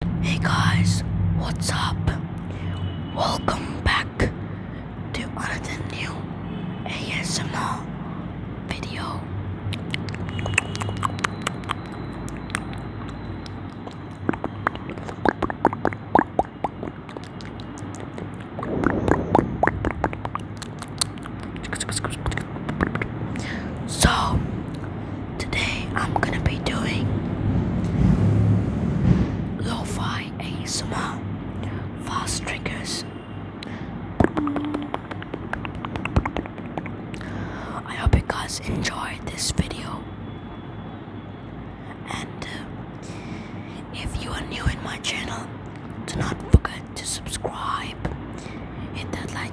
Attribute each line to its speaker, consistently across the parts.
Speaker 1: Hey guys, what's up? Welcome back to another new ASMR video. So, Today I'm gonna be doing lo-fi ASMR fast triggers. I hope you guys enjoyed this video. And uh, if you are new in my channel, do not forget to subscribe, hit that like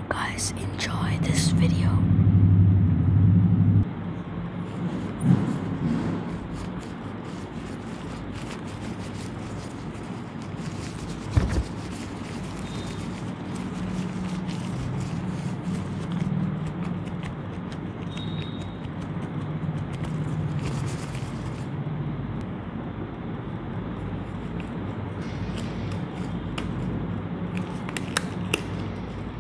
Speaker 1: guys enjoy this video.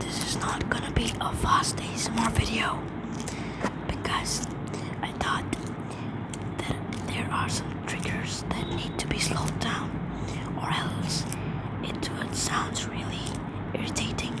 Speaker 1: This is not gonna be a fast ASMR video because I thought that there are some triggers that need to be slowed down or else it would sound really irritating.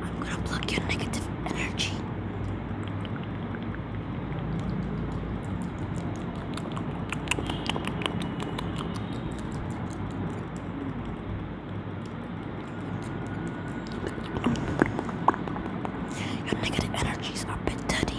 Speaker 1: I'm going to block your negative energy. Your negative energies are a bit dirty.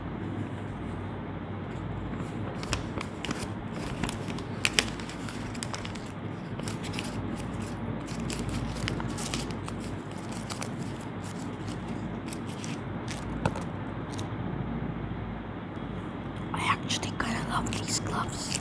Speaker 1: I actually kind of love these gloves.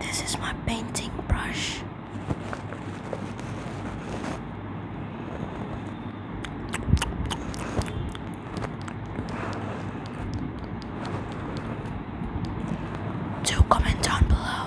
Speaker 1: This is my painting brush. Do comment down below.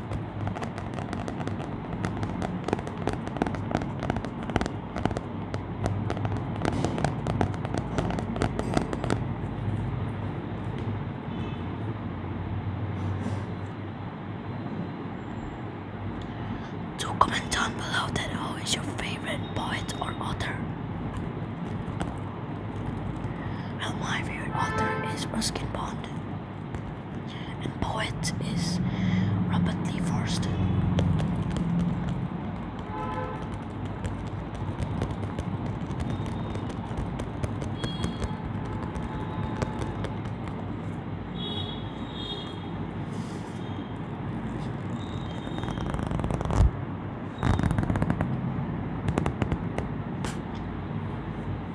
Speaker 1: Do comment down below that who is your favorite poet or author. Well, my favorite author is Ruskin Bond and poet is Robert Lee Forster.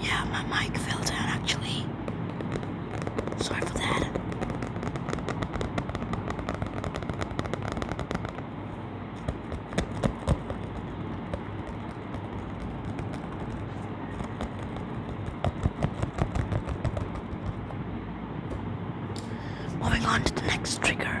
Speaker 1: yeah, my mic fell down actually. Sorry for that. Moving on to the next trigger.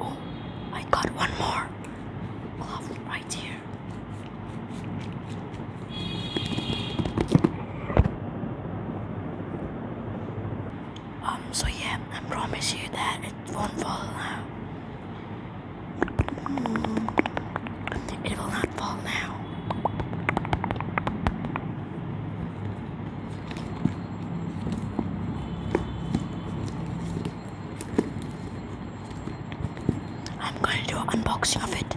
Speaker 1: Oh, I got one more glove right here. Um, so yeah, I promise you that it won't fall now. It will not fall now. I'm going to do an unboxing of it.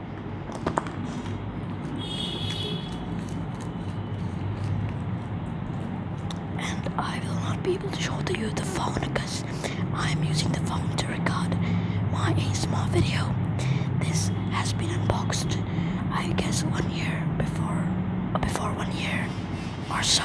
Speaker 1: And I will not be able to show to you the phone because I am using the phone to record my ASMR video. This has been unboxed, I guess one year before, before one year or so.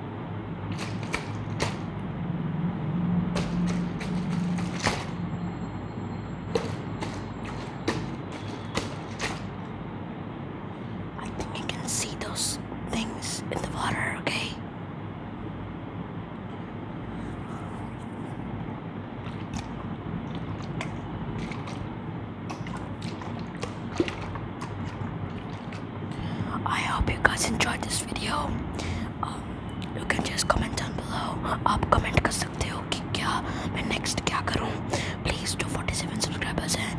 Speaker 1: I think you can see those things in the water, okay? I hope you guys enjoyed this video. Um, you can just comment down below. आप comment कर सकते हो कि क्या मैं next क्या करूँ Please जो 47 subscribers हैं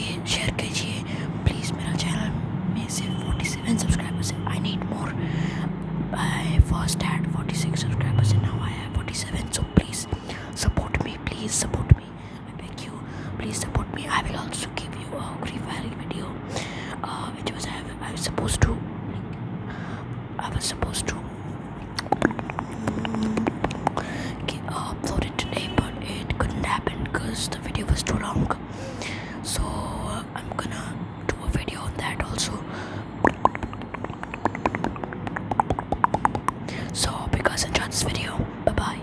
Speaker 1: ये share कीजिए Please मेरा channel में से 47 subscribers हैं I need more. I first had 46 subscribers and now I have 47. So please support me. Please support me. I beg you. Please support me. I will also. to give you a Free video, uh, which was I, am was supposed to. I was supposed to uh, upload it today, but it couldn't happen because the video was too long. So uh, I'm gonna do a video on that also. So, hope you guys enjoyed this video, bye bye.